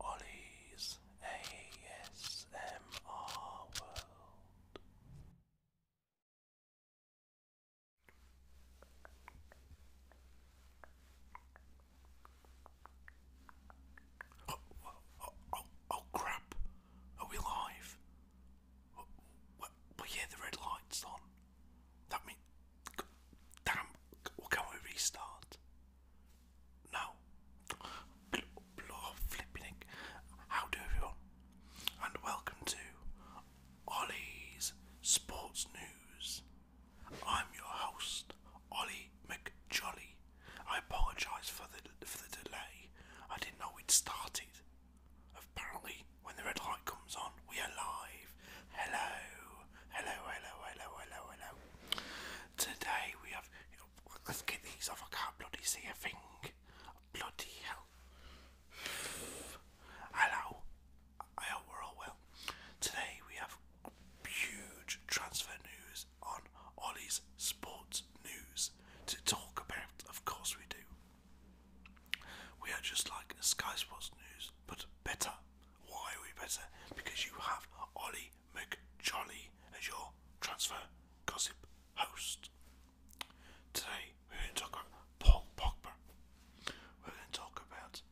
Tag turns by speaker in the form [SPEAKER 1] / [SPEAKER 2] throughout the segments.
[SPEAKER 1] Ollie's ASMR oh,
[SPEAKER 2] oh, oh, oh, crap! Are we live? Oh, yeah, the red light's on. That means. Damn, can we restart? No. Blow flipping How do everyone? And welcome to Ollie's Sports News. I'm your host, Ollie McJolly. I apologise for the for the delay. I didn't know we'd started. Apparently, when the red light comes on, we are live. Hello, hello, hello, hello, hello, hello. Today we have. Let's get these off. I can't bloody see a thing. Bloody hell. Hello. I hope we're all well. Today we have huge transfer news on Ollie's Sports News to talk about. Of course we do. We are just like Sky Sports News, but better. Why are we better? Because you have Ollie Jolly McJolly as your transfer gossip host. Today we're going to talk about Paul Pogba. We're going to talk about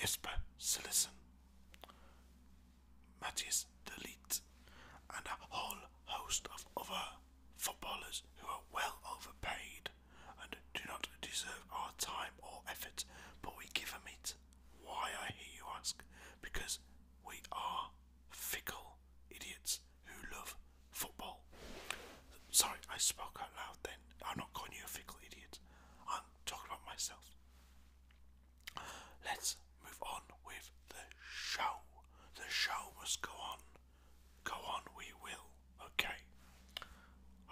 [SPEAKER 2] Jesper Sillerson, Matthias Delete, and a whole host of other footballers who are well overpaid and do not deserve our time or effort, but we give them it why, I hear you ask? Because we are fickle idiots who love football. Sorry, I spoke out loud then. I'm not calling you a fickle idiot. I'm talking about myself. Let's move on with the show. The show must go on. Go on, we will. Okay.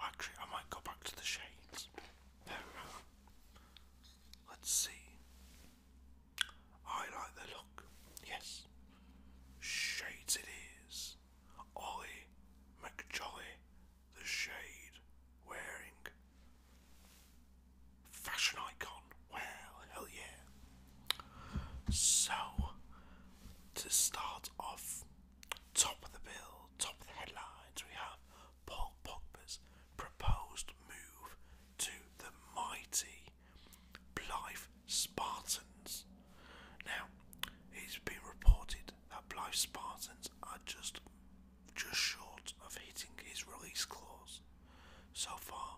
[SPEAKER 2] Actually, I might go back to the shades. There we are. Let's see. I like the look. Yes. Shades it is. Ollie McJolly, the shade wearing. Fashion icon. Well, hell yeah. So, to start off, top of the bill, top of the headlines, we have Paul Pogba's proposed move to the mighty Blyth Spartans. Now, it's been reported that Blyth Spartans are just just short of hitting his release clause. So far,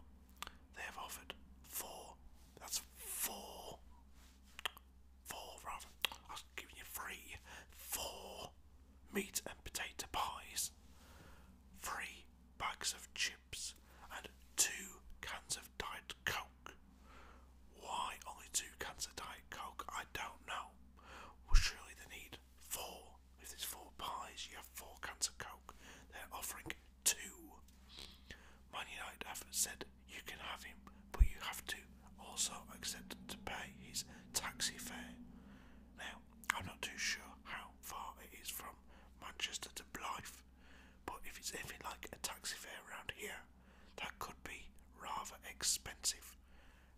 [SPEAKER 2] they have offered four. That's four. Four rather. I was giving you three. Four meat and potato pies, three bags of chips, and two cans of Diet Coke. Why only two cans of Diet Coke? I don't know. Well, surely they need four. If there's four
[SPEAKER 1] pies, you have four cans of Coke. They're offering two. Man United have said you can have him, but you have to also accept to pay his taxi fare. Now, I'm not too sure how far it is from Manchester to Blyth,
[SPEAKER 2] but if it's anything like a taxi fare around here, that could be rather expensive,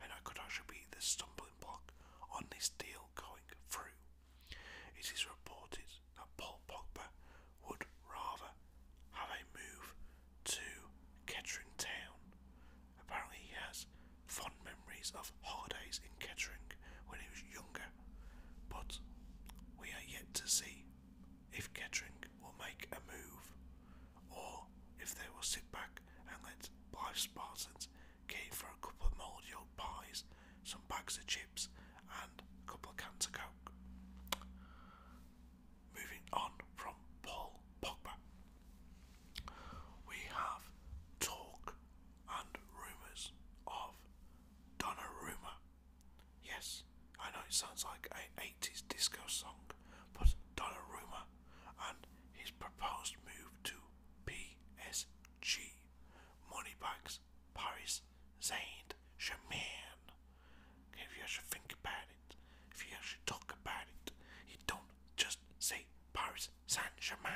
[SPEAKER 2] and I could actually be the stumbling block on this deal going through. It is reported that Paul Pogba would rather have a move to Kettering Town Apparently, he has fond memories of holidays in Kettering when he was younger, but we are yet to see if Kettering will make a move or if they will sit back and let Blythe Spartans get for a couple of mouldy old pies, some bags of chips, and a couple of cans of coke. Moving on from Paul Pogba. We have talk and rumours of Donnarumma. Yes, I know it sounds like an 80s disco song, but Donnarumma and his proposed move to PSG, money bags, Paris, Saint Germain. If you actually think about it, if you actually talk about it, you don't just say Paris Saint Germain.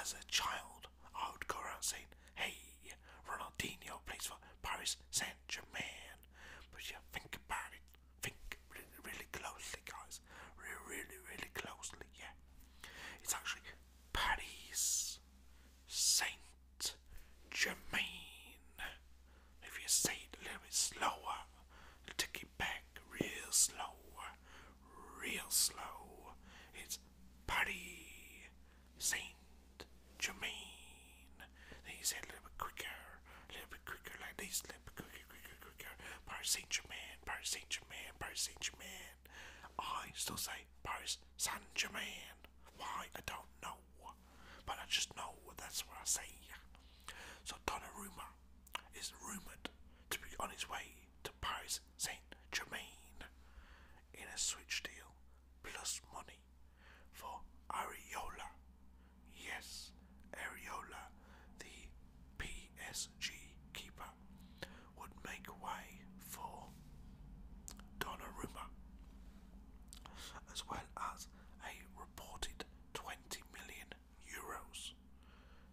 [SPEAKER 2] As, a child, I would go around saying, Hey, Ronaldinho plays for Paris Saint Germain. But you think about it. Think really, really closely, guys. Really, really, really closely, yeah. It's actually Paris Saint Germain. If you say it a little bit slower, take it back real slow real slow. It's Paris Saint Germain. Then you say a little bit quicker, a little bit quicker, like this, a little bit quicker, quicker, quicker. Paris Saint Germain, Paris Saint Germain, Paris Saint Germain. I still say Paris Saint Germain. Why? I don't know. But I just know that's what I say. So Donnarumma is rumoured to be on his way to Paris Saint Germain in a switch deal plus money for Ariola. Yes, Ariola, the PSG keeper, would make way for Donnarumma, as well as a reported 20 million euros.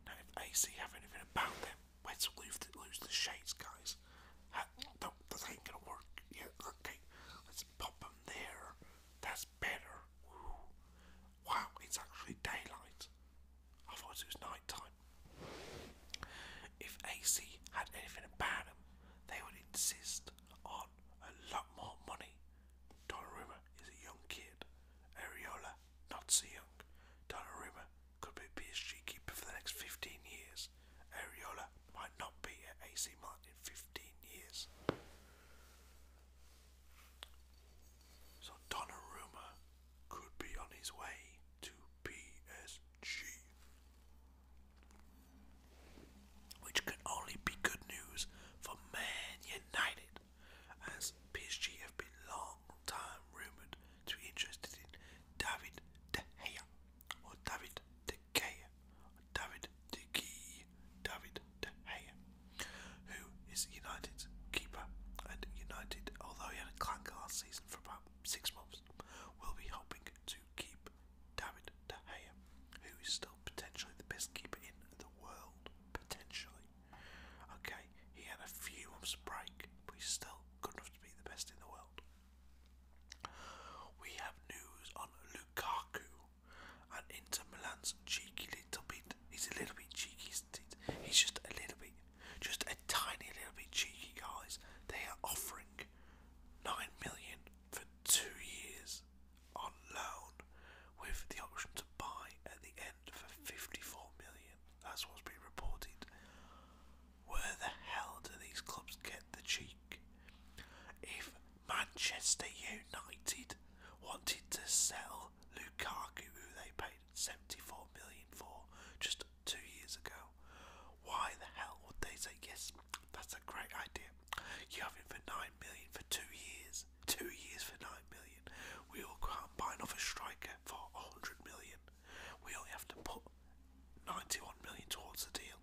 [SPEAKER 2] Now, if AC have anything about them, let's lose the, shades, guys. That, that, that ain't gonna work. Yeah, okay, let's pop them there. That's better. Wow, it's actually daylight. I thought it was night time. If AC had anything about them, they would insist on a lot more money. Donnarumma is a young kid. Areola Salah, not so young. Donnarumma could be PSG keeper for the next 15 years. Ariola might not be at AC Milan in 15 years. So Donnarumma could be on his way to PSG. Which can only be good news for Man United as PSG have been long time rumoured to be interested in David De Gea or David De Gea David De Gea, David De Gea, who is United's keeper and United, although he had a clank last season for about six months, will be hoping to keep David De Gea, who is still potentially the best keeper in the world, potentially. Okay, he had a few months break, but he's still good enough to be the best in the world. We have news on Lukaku and Inter Milan's cheeky little bit. He's a little bit cheeky, isn't it? He's just a little bit, just a tiny little bit cheeky, guys. They are offering nine million for two years on loan, with the option to buy at the end for 54 million. That's what's been reported. Where the hell do these clubs get the cheek? If Manchester United wanted to sell Lukaku, who they paid 74 million for just two years ago, why the hell would they say yes? That's a great idea. You have it for 9 million for two years. Two years for 9 million. We will go out and buy another striker for 100 million. We only have to put 91 million towards the deal.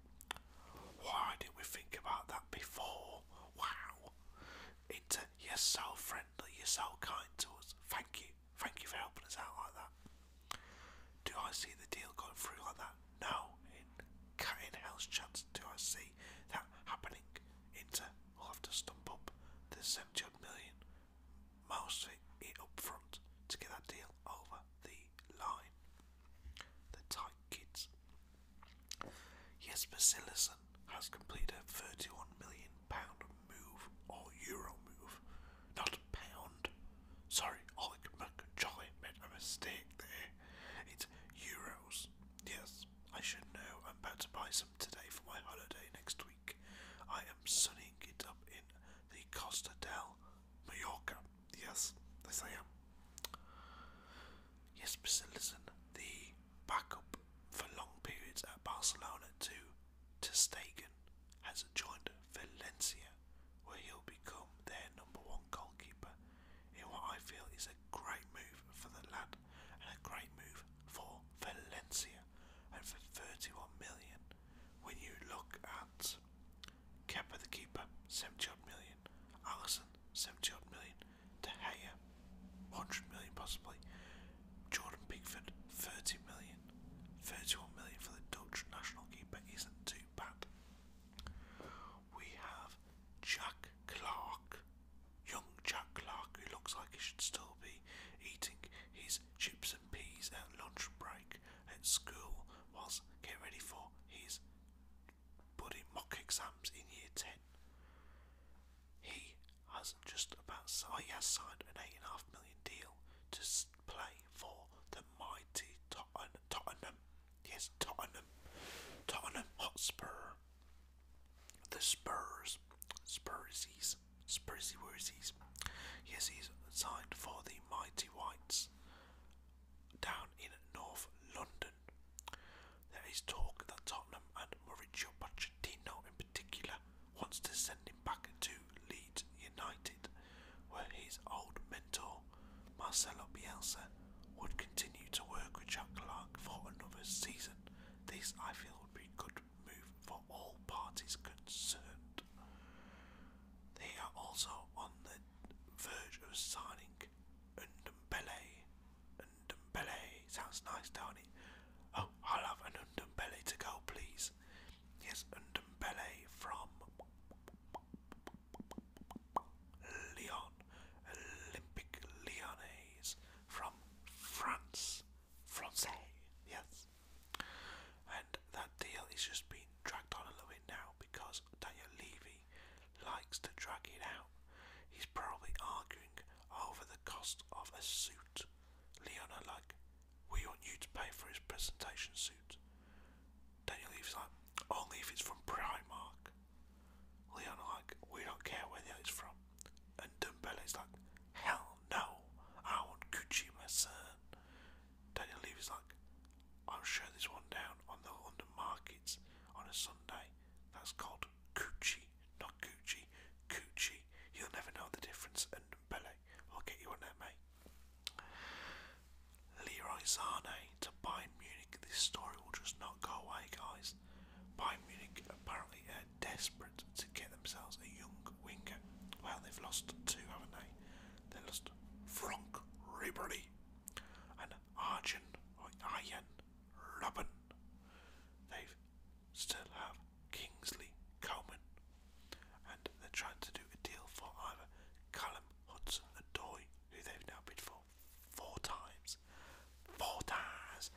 [SPEAKER 2] Why didn't we think about that before? Wow. Inter, you're so friendly, you're so kind to us. Thank you. Thank you for helping us out like that. Do I see the deal going through like that? No. In cutting hell's chance do I see that happening? Inter will have to stump up the 70 million mostly up front to get that deal over the line. The tight kids. Jesper Sillison has completed a £31 million move or euro move, not pound. Sorry, Oleg oh, Makacholi made a mistake there. It's euros. Yes, I should know. I'm about to buy some today for my holiday next week. I am sunning it up in the Costa del Mallorca. Yes, yes I am. Yes, Mr. Listen, the backup for long periods at Barcelona to Testegen has joined Valencia, where he'll become their number one goalkeeper in what I feel is a great move for the lad and a great move for Valencia and for 31 million. When you look at Kepa the keeper, 70 Allison, 70 odd million, De Gea, 100 million possibly, Jordan Pickford, 30 million, 31 million for the Dutch national keeper isn't too bad. We have Chuck Clark, young Chuck Clark, who looks like he should still be eating his chips peas at lunch break at school was get ready for his bloody mock exams in year 10. He has just about oh, he has signed an eight and a half million deal to play for the mighty Tottenham, yes Tottenham, Tottenham Hotspur, the Spurs, Spursies. Worthies, Spursy Worthies. Yes, he's signed for the Mighty Whites down in North London. There is talk that Tottenham and Mauricio Pochettino in particular wants to send him back to Leeds United, where his old mentor, Marcelo Bielsa, would continue to work with Jack Clark for another season. This I feel would be good move for all parties concerned. They are also on the verge of signing Undumbele. Undumbele sounds nice, do Oh, I'll have an Undumbele to go, please. Yes, Undumbele from Lyon, Olympic Lyonnais from France. Francais, yes. And that deal is just being dragged on a little bit now because Daniel Levy likes to drag it out. He's probably arguing over the cost of a suit. Leon are like, we want you to pay for his presentation suit. Daniel Levy's like, only if it's from Primark. Leon are like, we don't care where the it's from. And Dumbele is like, hell no, I want Gucci, my son. Daniel Levy's like, I'll show this one down on the London markets on a Sunday. That's called Gucci, not Gucci, Gucci. You'll never know the difference. And Pele, I'll get you on that, mate. Leroy Zane to Bayern Munich. This story will just not go away, guys. Bayern Munich apparently desperate to get themselves a young winger. Well, they've lost two, haven't they? They lost Franck Ribery and Arjen or Ian Robin. They still have Kingsley Coman, and they're trying to do a deal for either Callum Hudson and Adoy, who they've now bid for four times, four times,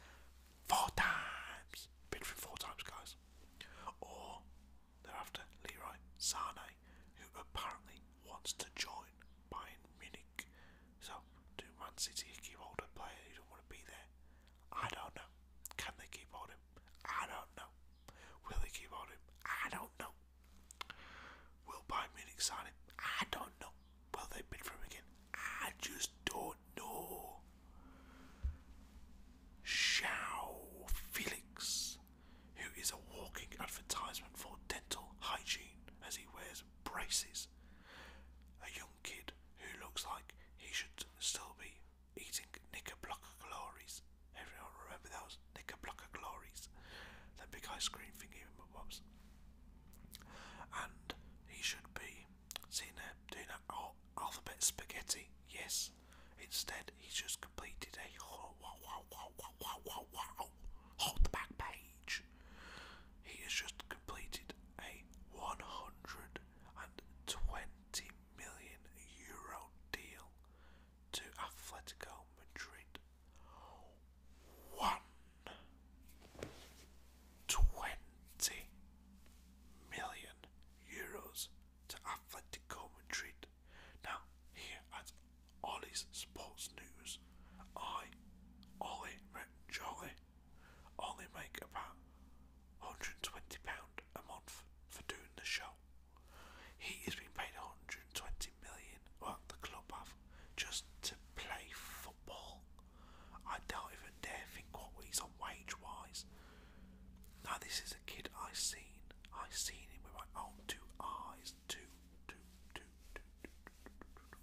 [SPEAKER 2] four times, bid for four times, guys. Or thereafter Leroy Sane, who apparently wants to join Bayern Munich. So do Man City keep hold of a player don't want to be there? I don't know. Can they keep hold of him? I don't know. Will they keep hold of him? I don't know. Will Bayern Munich sign him? I don't know. Will they bid for him again? I just don't know. Xiao Felix, who is a walking advertisement for dental hygiene as he wears braces. A young kid who looks like he should still be eating knickerblocker glories. Everyone remember those knickerblocker glories? That big ice cream thingy with mum's. And he should be seeing that doing that alphabet spaghetti. Yes, Instead, he's just completed a hold the back page. He has just completed a 120 million euro deal to Atletico Madrid. One twenty million euros to Atletico Madrid. Now, here at Ollie's Sports News, I, Ollie McJolly, only make about £120 a month for doing the show. He has been paid 120 million, well, the club have, just to play football. I don't even dare think what he's on wage wise. Now this is a kid I have seen. I have seen him with my own two eyes. Two, two, two, two, two, two, two, two.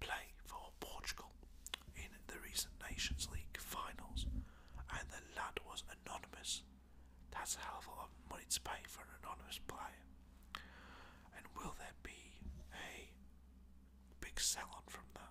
[SPEAKER 2] Play for Portugal in the recent Nations League finals, and the lad was anonymous. That's a hell of a lot of money to pay for an anonymous player. And will there be a big sell on from that?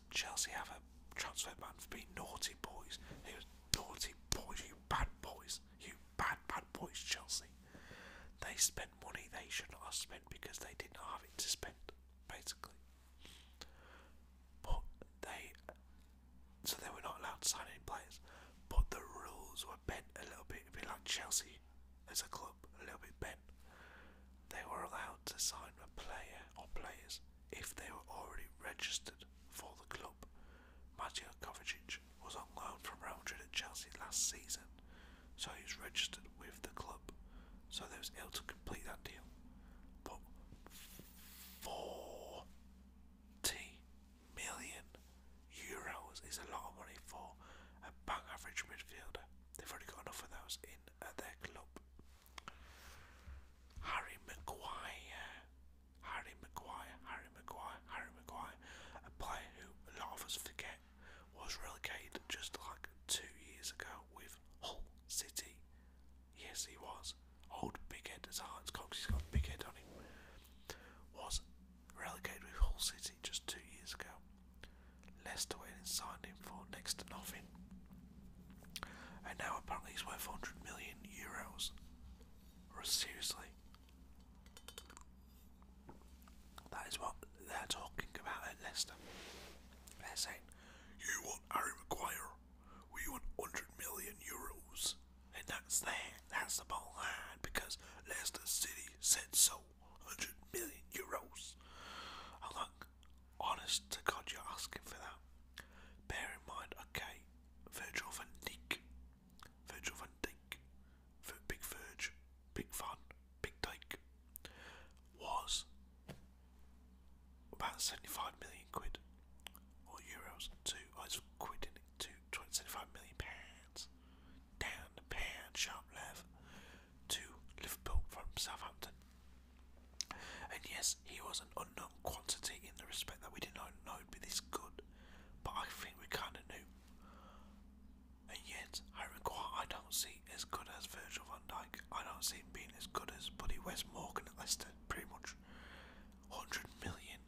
[SPEAKER 2] Chelsea have a transfer ban for being naughty boys. It naughty boys, you bad boys, you bad, bad boys, Chelsea. They spent money they should not have spent because they didn't have it to spend, basically. But they, so they were not allowed to sign any players. But the rules were bent a little bit, a bit like Chelsea as a club, a little bit bent. They were allowed to sign a player or players if they were already registered for the club. Mateo Kovacic was on loan from Real Madrid at Chelsea last season, so he was registered with the club, so there was able to complete that deal. But forty million euros is a lot of money for a bang average midfielder. They've already got enough of those in at their club. Harry Maguire. Harry Maguire, Harry Maguire, Harry Maguire, a player who a lot of us forget was relegated just like two years ago with Hull City. Yes, he was. Old Big Head as Hearts Cox, he's got a big head on him. Was relegated with Hull City just two years ago. Leicester went and signed him for next to nothing. And now apparently he's worth 100 million euros. seriously. That is what they're talking about at Leicester. They're saying, you want Harry Maguire, we want 100 million euros. And that's that, that's the ball line, because Leicester City said so, 100 million euros. i oh, honest to God, you're asking for that. Bear in mind, okay, Virgil van Dijk, Virgil van Dijk, Big Verge, Big Fun, Big Dijk, was about 75 million quid, or euros, to, I was quitting to pounds, down the pound, sharp left, to Liverpool from Southampton. And yes, he was an unknown quantity in the respect that we did not know he'd be this good, but I think we kind of knew. And yet, I don't see as good as Virgil van Dijk. I don't see him being as good as Buddy West Morgan at Leicester, pretty much. 100 million.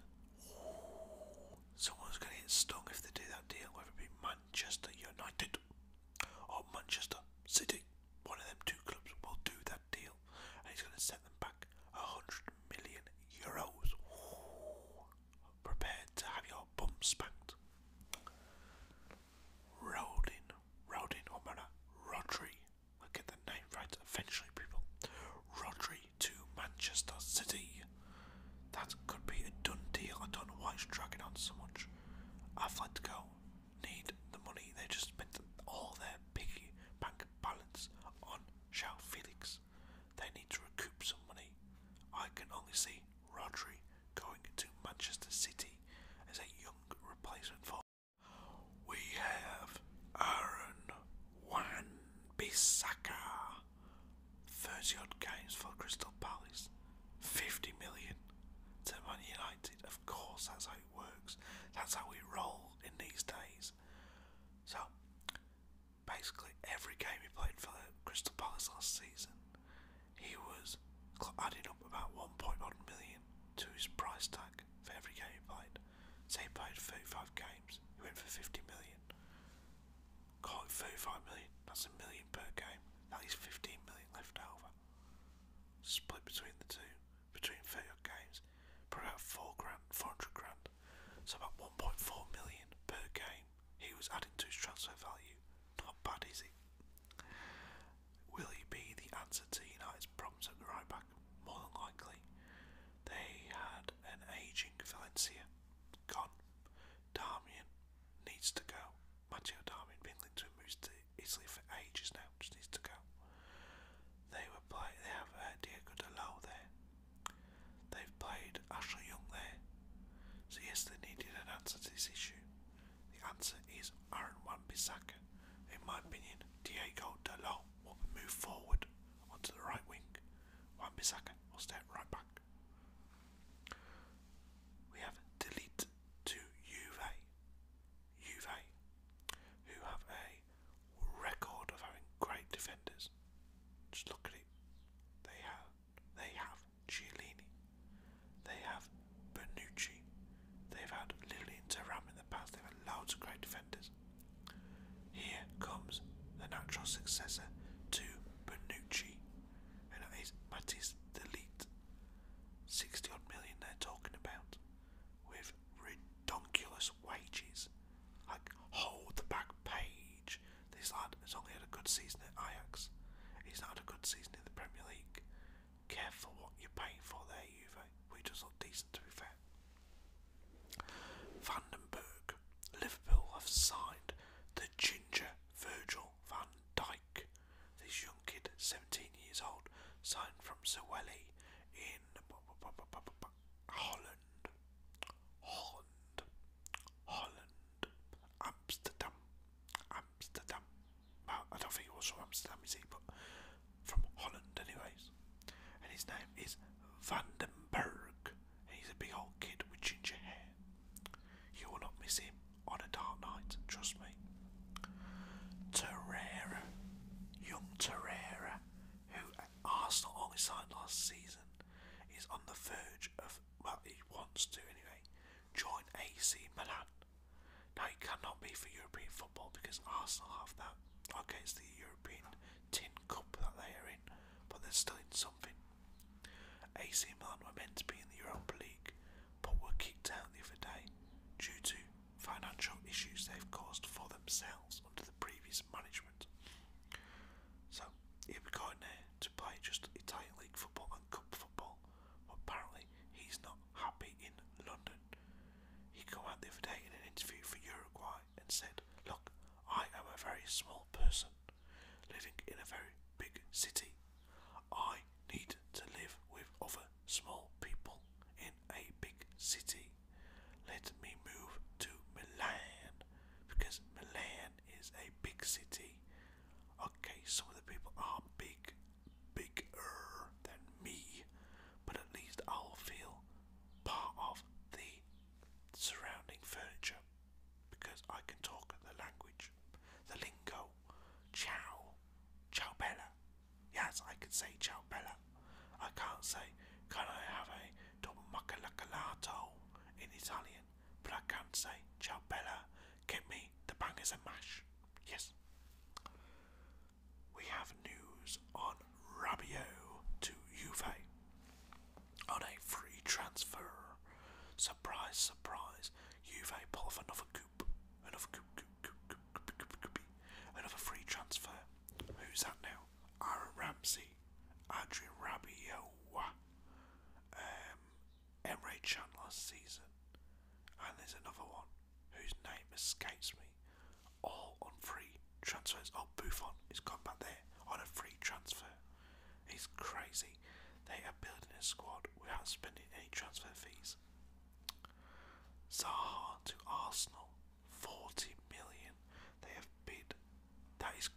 [SPEAKER 2] Someone's going to get stung if they do that deal, whether it be Manchester United or Manchester City. One of them two clubs will do that deal and he's going to set them back a hundred million euros. prepared to have your bum spanked. Rodin, Rodin or oh, Mana, Rodri. We'll the name right eventually, people. Rodri to Manchester City. That could be a done deal. I don't know why it's dragging on so much. Atletico need the money. They just spent all their big bank balance on Shao Felix. They need to recoup some money. I can only see Rodri going to Manchester City as a young replacement for. We have Aaron Wan-Bissaka. 30 odd games for Crystal Palace. 50 million to Man United. Of course, that's how it works. That's how we roll in these days. So, basically, every game he played for the Crystal Palace last season, he was adding up about 1.1 million to his price tag for every game he played. So he played 35 games, he went for 50 million. 35 million, that's a million per game. That is 15 million left over. Split between the two between 30 games for about four grand, 400 grand. So about 1.4 million per game he was adding to his transfer value. Not bad, is it? Will he be the answer to United's problems at the right back? More than likely. They had an ageing Valencia, gone. Darmian needs to go. Matteo Darmian been linked to moves to Italy for ages
[SPEAKER 1] now, just needs to go. They were play they have uh, Diego Dalot there. They've played Ashley Young there. So yes, they needed an answer to this
[SPEAKER 2] issue. The answer is Aaron Wan-Bissaka. In my opinion, Diego Dalot will move forward onto the right wing. Wan-Bissaka will step right back. We have a delete to Juve. Juve, who have a record of having great defenders. Just look at it. They have they have Giolini. They have Bernucci. They've had Lillian Taram in the past. They've had loads of great defenders. Here comes the natural successor to Bernucci, and that is Matisse Delete. Sixty odd million they're talking about with redonkulous wages. Like, hold the back page. This lad has only had a good season at Ajax. He's not had a good season in the Premier League. Careful what you're paying for there, Juve. We just look decent, to be fair. Van den Berg, Liverpool have signed the ginger Virgil van Dijk. This young kid, 17 years old, signed from Zawelli in Holland, Holland, Holland, Amsterdam, Amsterdam. Well, I don't think he was from Amsterdam, is he? But from Holland, anyways. And his name is Vandenberg. And he's a big old kid with ginger hair. You will not miss him on a dark night, trust me. Terrera, young Terrera, who at Arsenal only signed last season, is on the verge of, well, he wants to anyway, join AC Milan. Now, he cannot be for European football because Arsenal have that. Okay, it's the European Tin Cup that they are in, but they're still in something. AC Milan were meant to be in the Europa League, but were kicked out the other day due to financial issues they've caused for themselves under the previous management. So he going there to play just Italian League football and cup football. apparently he's not happy in London. He came out there for day an interview for Uruguay and said, Look, I am a very small person living in a very big city. I need to live with other small people in a big city. Let me move to Milan because Milan is a big city. Okay, some of the people are big, bigger than me, but at least I'll feel part of the surrounding furniture because I can talk the language, the lingo. Ciao, ciao bella. Yes, I can say ciao bella. I can't say, can I have a double in Italian, but I can not say, ciao bella, get me the bangers and mash. Yes. We have news on Rabiot to Juve on a free transfer. Surprise, surprise, Juve pull off another coup, another coup, coup, coup, coup, coup, coup, coup, coup, coup another free transfer. Who's that now? Aaron Ramsey, Adrian Rabiot, um, Emre Chan last season, and there's another one whose name escapes me. All on free transfers. Oh, Buffon is gone there on a free transfer. It's crazy. They are building a squad without spending any transfer fees. Zaha to Arsenal. 40 million. They have bid. That is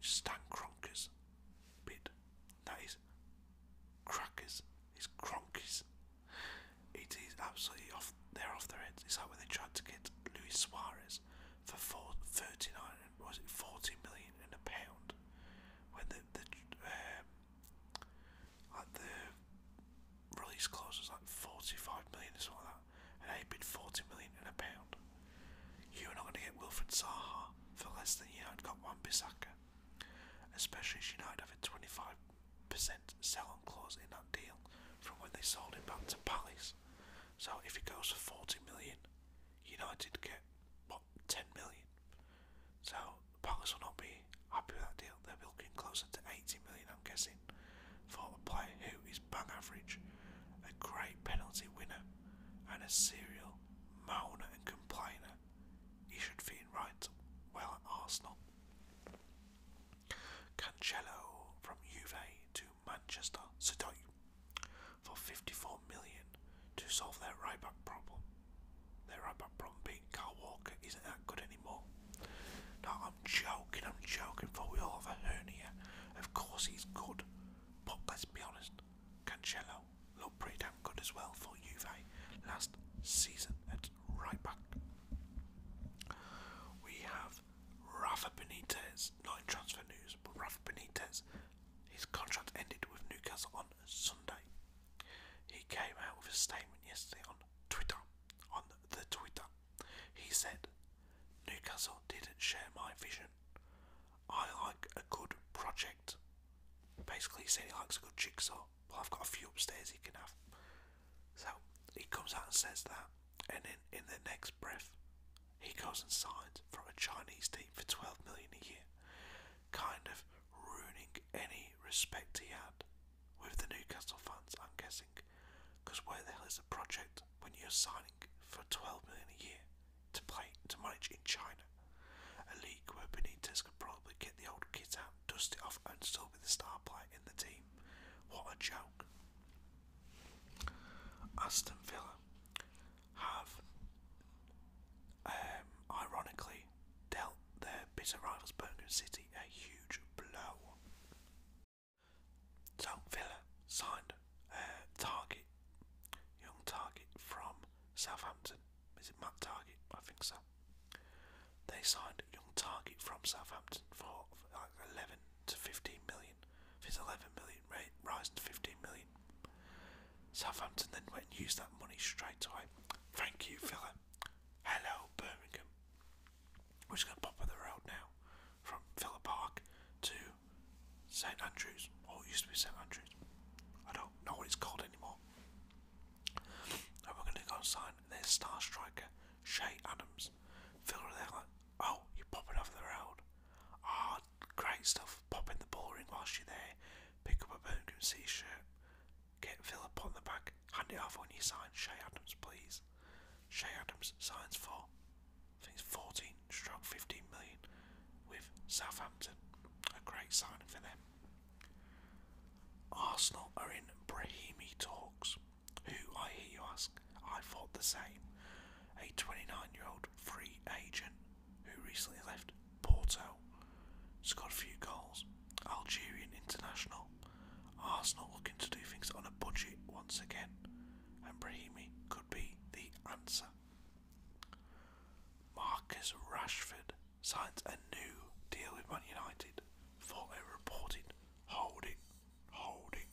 [SPEAKER 2] Stan Kroenke's bid. That is crackers. It's Kroenke's. It is absolutely off. They're off their heads. It's like when they tried to get Luis Suarez for four, 39, was it 40 million in a pound? When the, the um, like the release clause was like 45 million or something like that, and they bid 40 million in a pound. You're not going to get Wilfred Zaha for less than United got Wan Bissaka, especially as United have a 25% sell on clause in that deal from when they sold him back to Palace. So if it goes for 40 million, United get what 10 million. So Palace will not be happy with that deal. They'll be looking closer to 80 million, I'm guessing for a player who is bang average, a great penalty winner, and a serial moaner and complainer, he should fit in right well at Arsenal. Cancelo from Juve to Manchester City for 54 million to solve their right back problem. Their right back problem being Carl Walker isn't that good anymore. No, I'm joking, I'm joking, for we all have a hernia. Of course he's good, but let's be honest, Cancelo looked pretty damn good as well for Juve last season at right back. We have Rafa Benitez, not in transfer news, but Rafa Benitez, his contract ended with Newcastle on Sunday. He came out with a statement yesterday on Twitter, on the Twitter, he said, Newcastle didn't share my vision. I like a good project. Basically, he said he likes a good jigsaw. Well, I've got a few upstairs he can have. So he comes out and says that, and in, in the next breath, he goes and signs for a Chinese team for 12 million a year, kind of ruining any respect he had with the Newcastle fans, I'm guessing. Because where the hell is a project when you're signing for 12 million a year to play to manage in China? A league where Benitez could probably kick the old kids out, dust it off, and still be the star player in the team. What a joke. Aston Villa have, um, ironically, dealt their bitter rivals Birmingham City a huge blow. So Villa signed a Target, young Target from Southampton. Is it Matt Target? I think so. They signed a young Target from Southampton for like 11 to 15 million. If it's 11 million, right, rising to 15 million. Southampton then went and used that money straight away. Thank you, Villa. Hello, Birmingham. We're just going to pop up the now from Villa Park to St Andrews, or it used to be St Andrews. I don't know what it's called anymore. And we're going to go and sign There's star striker, Shay Adams. Villa are like, oh, you're popping off the road. Ah, great stuff. Pop in the ball ring whilst you're there. Pick up a Birmingham City shirt. Get Philip on the back. Hand it off when you sign Shay Adams, please. Shay Adams signs for think it's 14, struck 15 million with Southampton. A great signing for them. Arsenal are in Brahimi talks. Who, I hear you ask, I thought the same. A 29 year old free agent who recently left Porto, scored a few goals. Algerian international. Arsenal looking to do things on a budget once again and Brahimi could be the answer. Marcus Rashford signs a new deal with Man United for a reported holding, holding,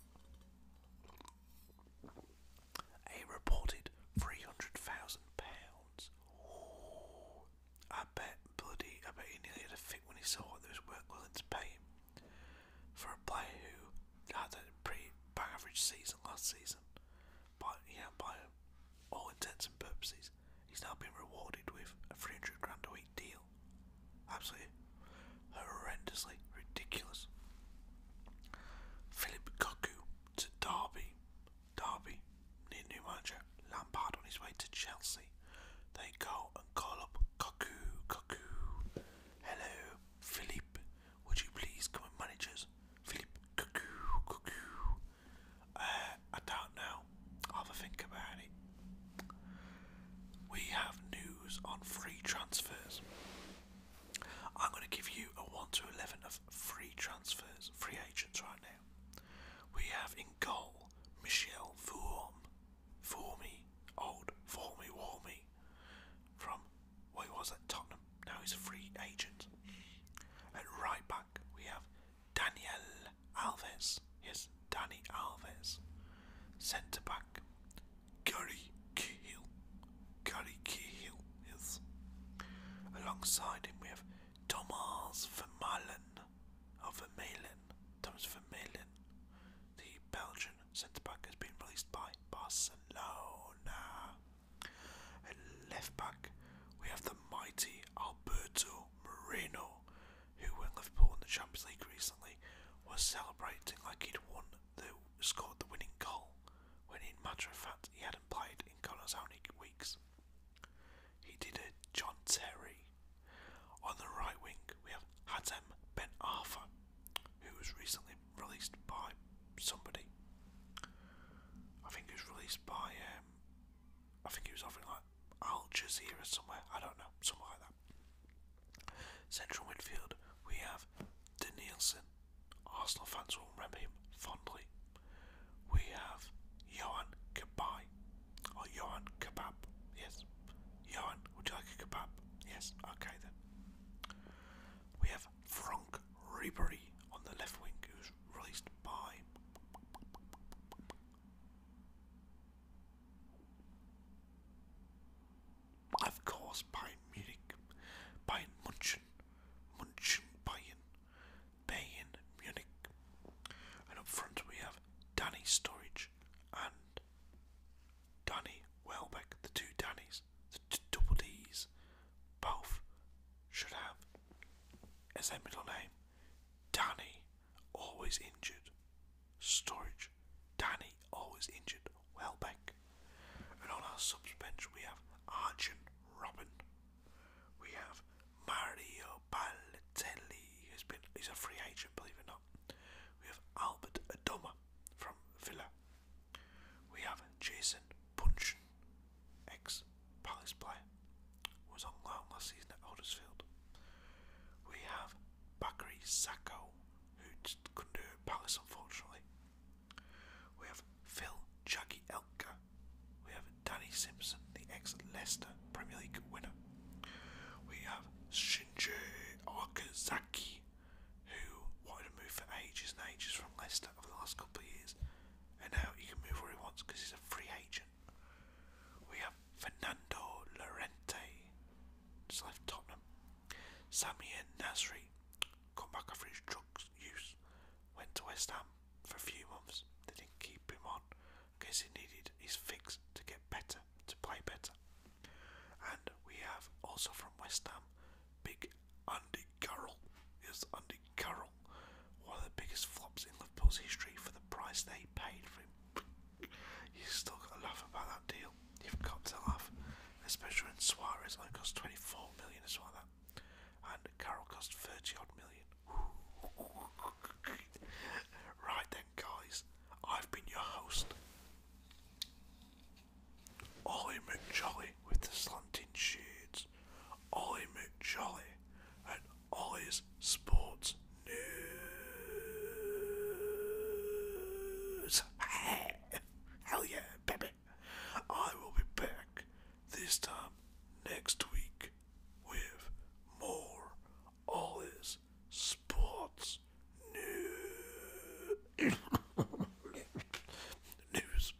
[SPEAKER 2] a reported three hundred thousand pounds. Ooh, I bet bloody, I bet he nearly had a fit when he saw what they was willing to pay him for a player who had a pretty average season last season, but yeah, by all intents and purposes, he's now been rewarded with a 300 grand a week deal. Absolutely horrendously ridiculous. Philip Koku to Derby, Derby, near new manager Lampard on his way to Chelsea. They go and call up Koku, Koku. Hello, Philip, would you please come and manage us? Philippe, cuckoo, cuckoo. Uh, I don't know. i have a think about it. We have news on free transfers. I'm going to give you a 1 to 11 of free transfers, free agents right now. We have in goal Michel Vorm Fool me, old, fool me, war me. From what was at Tottenham, now he's a free agent. At right back, we have Daniel Alves. Yes, Danny Alves. Centre back, Gary Cahill. Gary Cahill, yes. Alongside him, we have Thomas Vermaelen. Oh, Vermaelen. Thomas Vermaelen. The Belgian centre back has been released by Barcelona. At left back, we have the mighty Alberto Moreno, who, when Liverpool in the Champions League recently, was celebrating like he'd won the scored the winning goal, when in matter of fact he hadn't played in God's how weeks. He did a John Terry. On the right wing, we have Hatem Ben Arfa who was recently released by somebody. I think he was released by, um, I think he was over in like Al Jazeera somewhere, I don't know, somewhere like that. Central midfield, we have Danielsen. Arsenal fans will remember him fondly. We have Johan Kabay, or oh, Johan Kebab, yes. Johan, would you like a kabab? Yes, okay then. We have Franck Ribery on the left wing, who's released by. Of course, Bayern Munich, Bayern Munchen, Munchen Bayern, Bayern Munich. And up front we have Danny Storage and Danny Welbeck, the two Dannies the double D's, both should have as their middle name. Danny, always injured. Storage, Danny, always injured. Welbeck. And on our subs bench, we have Arjun Robin. We have Mario Balotelli, who's been he's a free agent, believe it or not. We have Albert Adoma from Villa. We have Jason Puncheon, ex Palace player, was on loan last season at Huddersfield. We have Bakary Sacco, who couldn't do Palace unfortunately. We have Phil Jaggy Elka. We have Danny Simpson, the ex Leicester Premier League winner. We have Shinji Okazaki, who wanted to move for ages and ages from Leicester over the last couple of years, and now he can move where he wants because he's a free agent. We have Fernando Llorente, just left Tottenham. Samir Nasri, come back after his drug use, went to West Ham for a few months. They didn't keep him on because he needed his fix to get better, to play better. And we have also from West Ham, big Andy Carroll. Is Andy Carroll one of the biggest flops in the Liverpool's history for the price they paid for him? You still got to laugh about that deal. You've got to laugh, especially when Suarez only cost 24 million as well. and Carroll cost 30 odd million. right then, guys, I've been your host. Ollie McJolly with the slanting shades, Ollie McJolly, and Ollie's Sports News. Hell yeah, baby! I will be back this time next week with more Ollie's Sports news. News. news.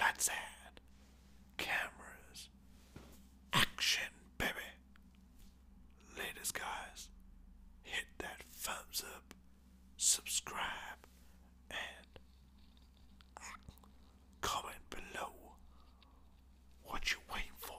[SPEAKER 2] Lights out. Cameras. Action, baby. Latest guys. Hit that thumbs up. Subscribe. And comment below what you waiting for.